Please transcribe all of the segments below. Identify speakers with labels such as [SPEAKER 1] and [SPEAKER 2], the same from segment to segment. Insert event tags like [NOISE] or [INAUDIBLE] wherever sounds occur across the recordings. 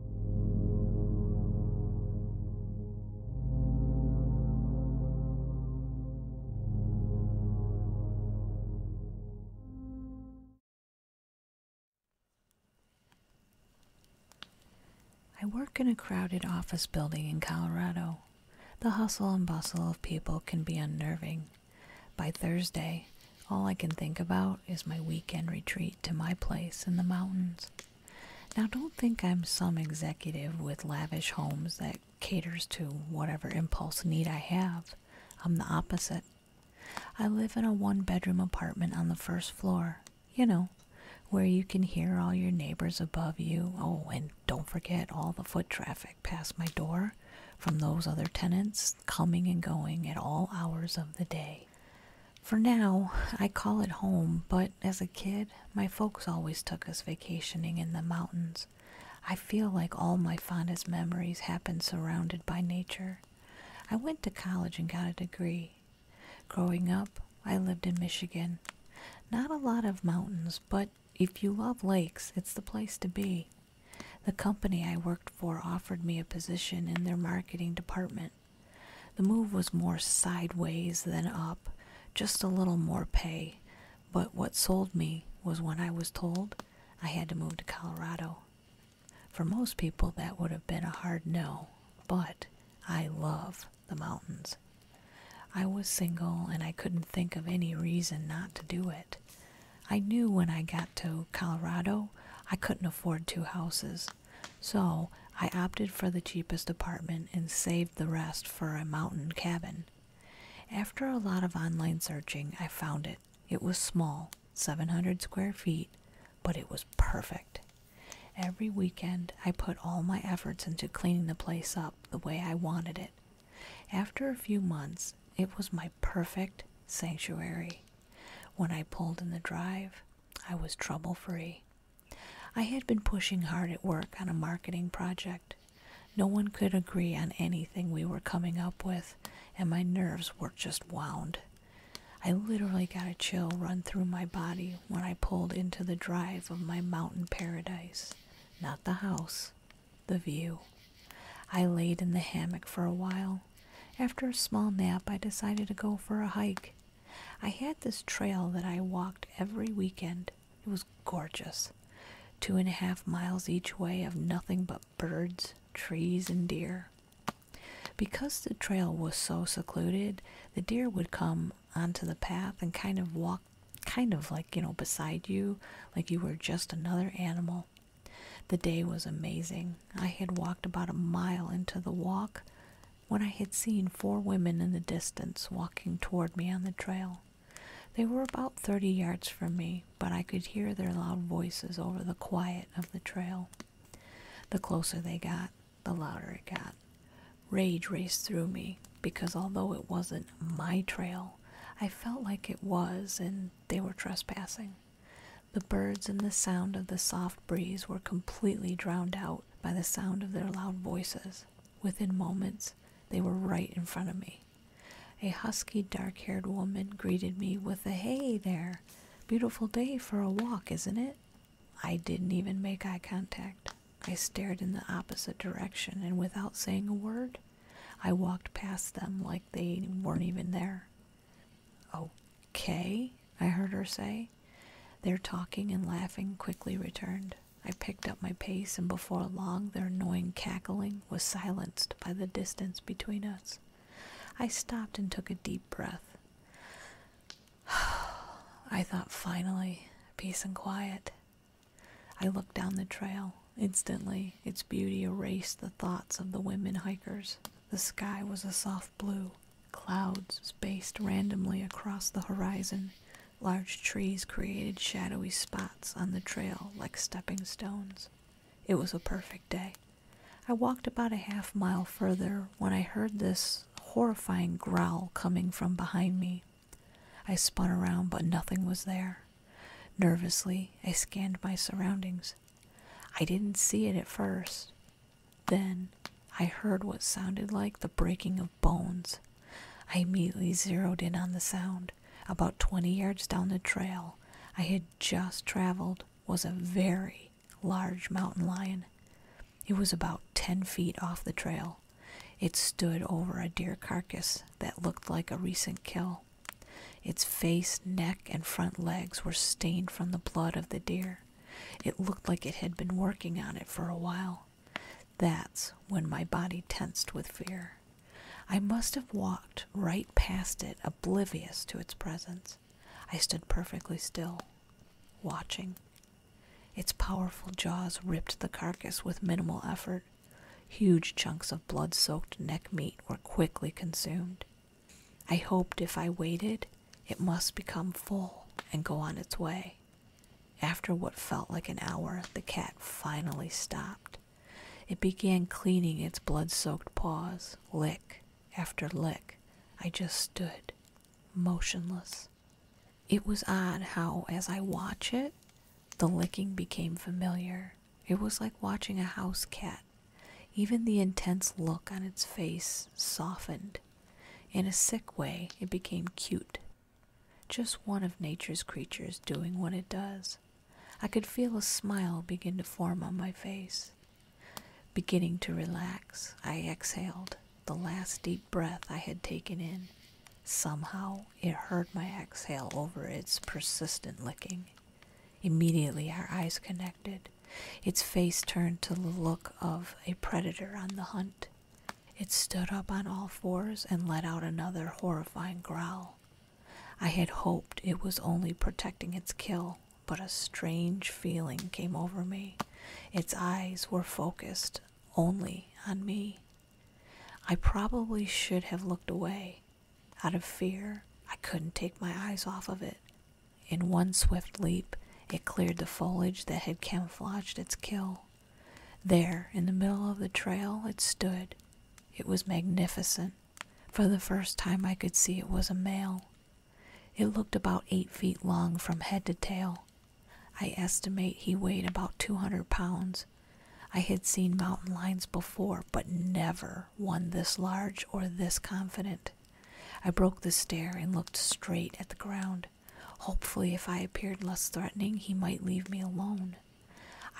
[SPEAKER 1] I work in a crowded office building in Colorado. The hustle and bustle of people can be unnerving. By Thursday, all I can think about is my weekend retreat to my place in the mountains. Now, don't think I'm some executive with lavish homes that caters to whatever impulse need I have. I'm the opposite. I live in a one bedroom apartment on the first floor, you know, where you can hear all your neighbors above you. Oh, and don't forget all the foot traffic past my door from those other tenants coming and going at all hours of the day. For now, I call it home, but as a kid, my folks always took us vacationing in the mountains. I feel like all my fondest memories happened surrounded by nature. I went to college and got a degree. Growing up, I lived in Michigan. Not a lot of mountains, but if you love lakes, it's the place to be. The company I worked for offered me a position in their marketing department. The move was more sideways than up, just a little more pay, but what sold me was when I was told I had to move to Colorado. For most people, that would have been a hard no, but I love the mountains. I was single and I couldn't think of any reason not to do it. I knew when I got to Colorado I couldn't afford two houses, so I opted for the cheapest apartment and saved the rest for a mountain cabin. After a lot of online searching, I found it. It was small, 700 square feet, but it was perfect. Every weekend, I put all my efforts into cleaning the place up the way I wanted it. After a few months, it was my perfect sanctuary. When I pulled in the drive, I was trouble free. I had been pushing hard at work on a marketing project. No one could agree on anything we were coming up with, and my nerves were just wound. I literally got a chill run through my body when I pulled into the drive of my mountain paradise. Not the house, the view. I laid in the hammock for a while, after a small nap, I decided to go for a hike. I had this trail that I walked every weekend. It was gorgeous. Two and a half miles each way of nothing but birds, trees, and deer. Because the trail was so secluded, the deer would come onto the path and kind of walk, kind of like, you know, beside you, like you were just another animal. The day was amazing. I had walked about a mile into the walk when I had seen four women in the distance walking toward me on the trail. They were about thirty yards from me, but I could hear their loud voices over the quiet of the trail. The closer they got, the louder it got. Rage raced through me because although it wasn't my trail, I felt like it was and they were trespassing. The birds and the sound of the soft breeze were completely drowned out by the sound of their loud voices. Within moments, they were right in front of me. A husky, dark haired woman greeted me with a hey there. Beautiful day for a walk, isn't it? I didn't even make eye contact. I stared in the opposite direction, and without saying a word, I walked past them like they weren't even there. Oh, Kay, I heard her say. Their talking and laughing quickly returned. I picked up my pace, and before long their annoying cackling was silenced by the distance between us. I stopped and took a deep breath. [SIGHS] I thought, finally, peace and quiet. I looked down the trail. Instantly, its beauty erased the thoughts of the women hikers. The sky was a soft blue, clouds spaced randomly across the horizon. Large trees created shadowy spots on the trail like stepping stones. It was a perfect day. I walked about a half mile further when I heard this horrifying growl coming from behind me. I spun around, but nothing was there. Nervously, I scanned my surroundings. I didn't see it at first. Then I heard what sounded like the breaking of bones. I immediately zeroed in on the sound. About 20 yards down the trail I had just traveled was a very large mountain lion. It was about 10 feet off the trail. It stood over a deer carcass that looked like a recent kill. Its face, neck, and front legs were stained from the blood of the deer. It looked like it had been working on it for a while. That's when my body tensed with fear. I must have walked right past it, oblivious to its presence. I stood perfectly still, watching. Its powerful jaws ripped the carcass with minimal effort. Huge chunks of blood soaked neck meat were quickly consumed. I hoped if I waited, it must become full and go on its way. After what felt like an hour, the cat finally stopped. It began cleaning its blood soaked paws, lick after lick. I just stood, motionless. It was odd how, as I watched it, the licking became familiar. It was like watching a house cat even the intense look on its face softened. In a sick way, it became cute. Just one of nature's creatures doing what it does. I could feel a smile begin to form on my face. Beginning to relax, I exhaled the last deep breath I had taken in. Somehow, it heard my exhale over its persistent licking. Immediately our eyes connected, its face turned to the look of a predator on the hunt. It stood up on all fours and let out another horrifying growl. I had hoped it was only protecting its kill, but a strange feeling came over me. Its eyes were focused only on me. I probably should have looked away. Out of fear, I couldn't take my eyes off of it, in one swift leap, it cleared the foliage that had camouflaged its kill. There, in the middle of the trail, it stood. It was magnificent. For the first time, I could see it was a male. It looked about eight feet long from head to tail. I estimate he weighed about 200 pounds. I had seen mountain lions before, but never one this large or this confident. I broke the stare and looked straight at the ground. Hopefully, if I appeared less threatening, he might leave me alone.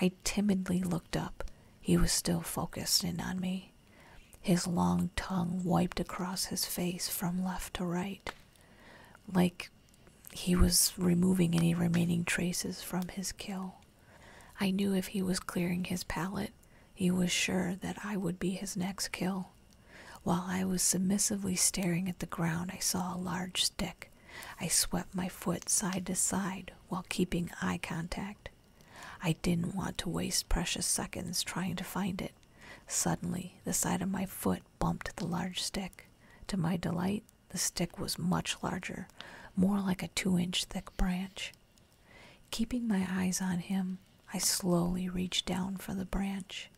[SPEAKER 1] I timidly looked up. He was still focused in on me. His long tongue wiped across his face from left to right, like he was removing any remaining traces from his kill. I knew if he was clearing his palate, he was sure that I would be his next kill. While I was submissively staring at the ground, I saw a large stick. I swept my foot side to side while keeping eye contact. I didn't want to waste precious seconds trying to find it. Suddenly, the side of my foot bumped the large stick. To my delight, the stick was much larger, more like a two inch thick branch. Keeping my eyes on him, I slowly reached down for the branch.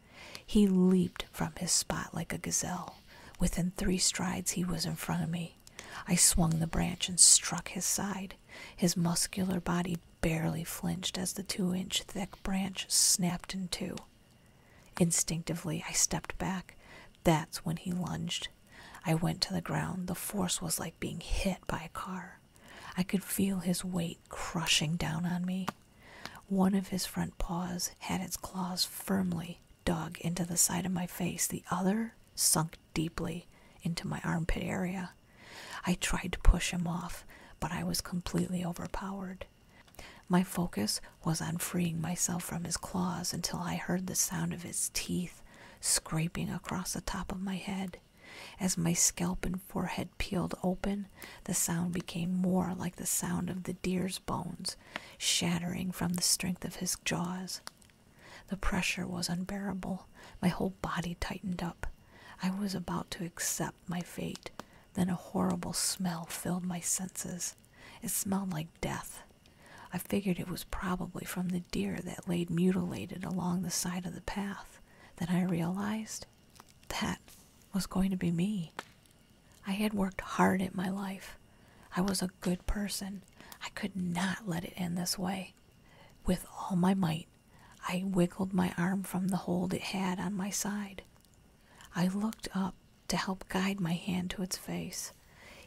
[SPEAKER 1] He leaped from his spot like a gazelle. Within three strides, he was in front of me. I swung the branch and struck his side. His muscular body barely flinched as the two inch thick branch snapped in two. Instinctively, I stepped back. That's when he lunged. I went to the ground. The force was like being hit by a car. I could feel his weight crushing down on me. One of his front paws had its claws firmly dug into the side of my face, the other sunk deeply into my armpit area. I tried to push him off, but I was completely overpowered. My focus was on freeing myself from his claws until I heard the sound of his teeth scraping across the top of my head. As my scalp and forehead peeled open, the sound became more like the sound of the deer's bones shattering from the strength of his jaws. The pressure was unbearable. My whole body tightened up. I was about to accept my fate. Then a horrible smell filled my senses. It smelled like death. I figured it was probably from the deer that lay mutilated along the side of the the path that I realized that was going to be me. I had worked hard at my life. I was a good person. I could not let it end this way. With all my might, I wiggled my arm from the hold it had on my side. I looked up to help guide my hand to its face.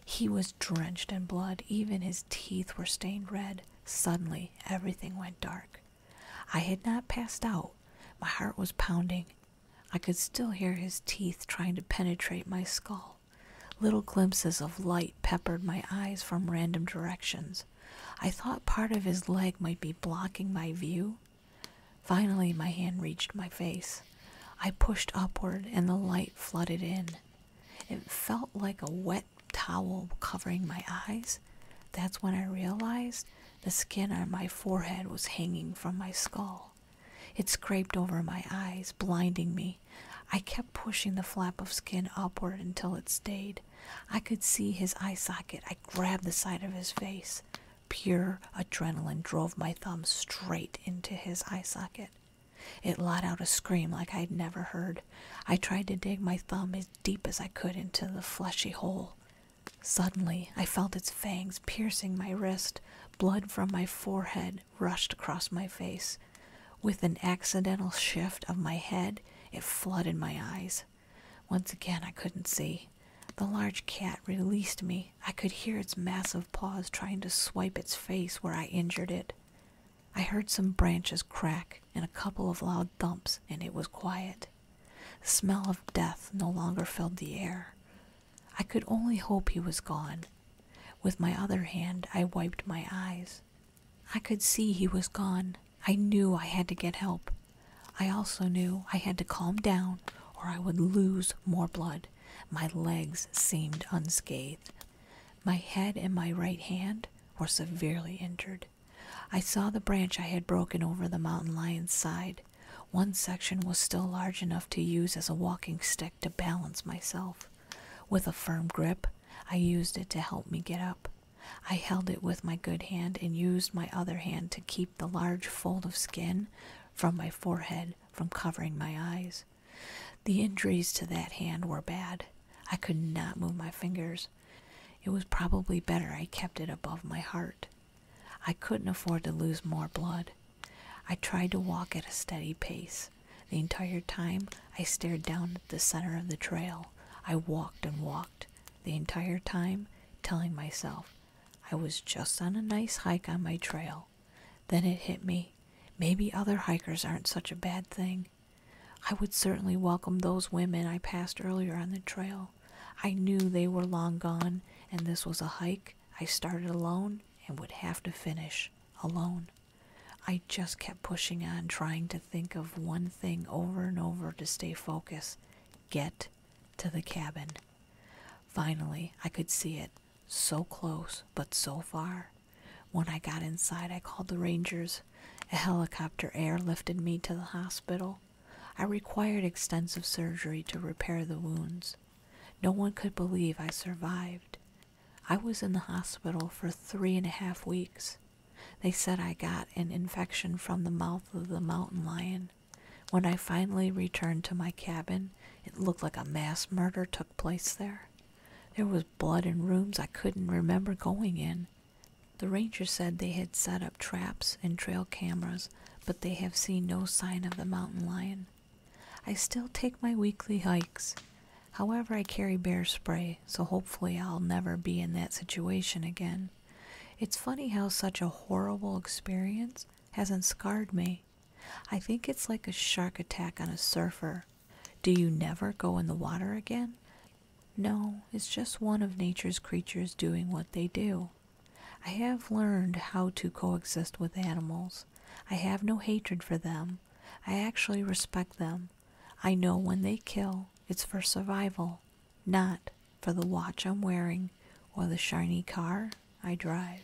[SPEAKER 1] He was drenched in blood, even his teeth were stained red. Suddenly, everything went dark. I had not passed out. My heart was pounding. I could still hear his teeth trying to penetrate my skull. Little glimpses of light peppered my eyes from random directions. I thought part of his leg might be blocking my view. Finally, my hand reached my face. I pushed upward, and the light flooded in. It felt like a wet towel covering my eyes. That's when I realized the skin on my forehead was hanging from my skull. It scraped over my eyes, blinding me. I kept pushing the flap of skin upward until it stayed. I could see his eye socket. I grabbed the side of his face. Pure adrenaline drove my thumb straight into his eye socket. It let out a scream like I'd never heard. I tried to dig my thumb as deep as I could into the fleshy hole. Suddenly, I felt its fangs piercing my wrist. Blood from my forehead rushed across my face. With an accidental shift of my head, it flooded my eyes. Once again, I couldn't see. The large cat released me. I could hear its massive paws trying to swipe its face where I injured it. I heard some branches crack and a couple of loud thumps, and it was quiet. The smell of death no longer filled the air. I could only hope he was gone. With my other hand, I wiped my eyes. I could see he was gone. I knew I had to get help. I also knew I had to calm down or I would lose more blood. My legs seemed unscathed, my head and my right hand were severely injured. I saw the branch I had broken over the mountain lion's side. One section was still large enough to use as a walking stick to balance myself. With a firm grip, I used it to help me get up. I held it with my good hand and used my other hand to keep the large fold of skin from my forehead from covering my eyes. The injuries to that hand were bad. I could not move my fingers. It was probably better I kept it above my heart. I couldn't afford to lose more blood. I tried to walk at a steady pace. The entire time I stared down at the center of the trail. I walked and walked, the entire time telling myself I was just on a nice hike on my trail. Then it hit me. Maybe other hikers aren't such a bad thing. I would certainly welcome those women I passed earlier on the trail. I knew they were long gone, and this was a hike I started alone and would have to finish alone. I just kept pushing on, trying to think of one thing over and over to stay focused get to the cabin. Finally, I could see it, so close but so far. When I got inside, I called the Rangers. A helicopter airlifted me to the hospital. I required extensive surgery to repair the wounds. No one could believe I survived. I was in the hospital for three and a half weeks. They said I got an infection from the mouth of the mountain lion. When I finally returned to my cabin, it looked like a mass murder took place there. There was blood in rooms I couldn't remember going in. The ranger said they had set up traps and trail cameras, but they have seen no sign of the mountain lion. I still take my weekly hikes. However, I carry bear spray, so hopefully I'll never be in that situation again. It's funny how such a horrible experience hasn't scarred me. I think it's like a shark attack on a surfer. Do you never go in the water again? No, it's just one of nature's creatures doing what they do. I have learned how to coexist with animals. I have no hatred for them. I actually respect them. I know when they kill, it's for survival, not for the watch I'm wearing or the shiny car I drive.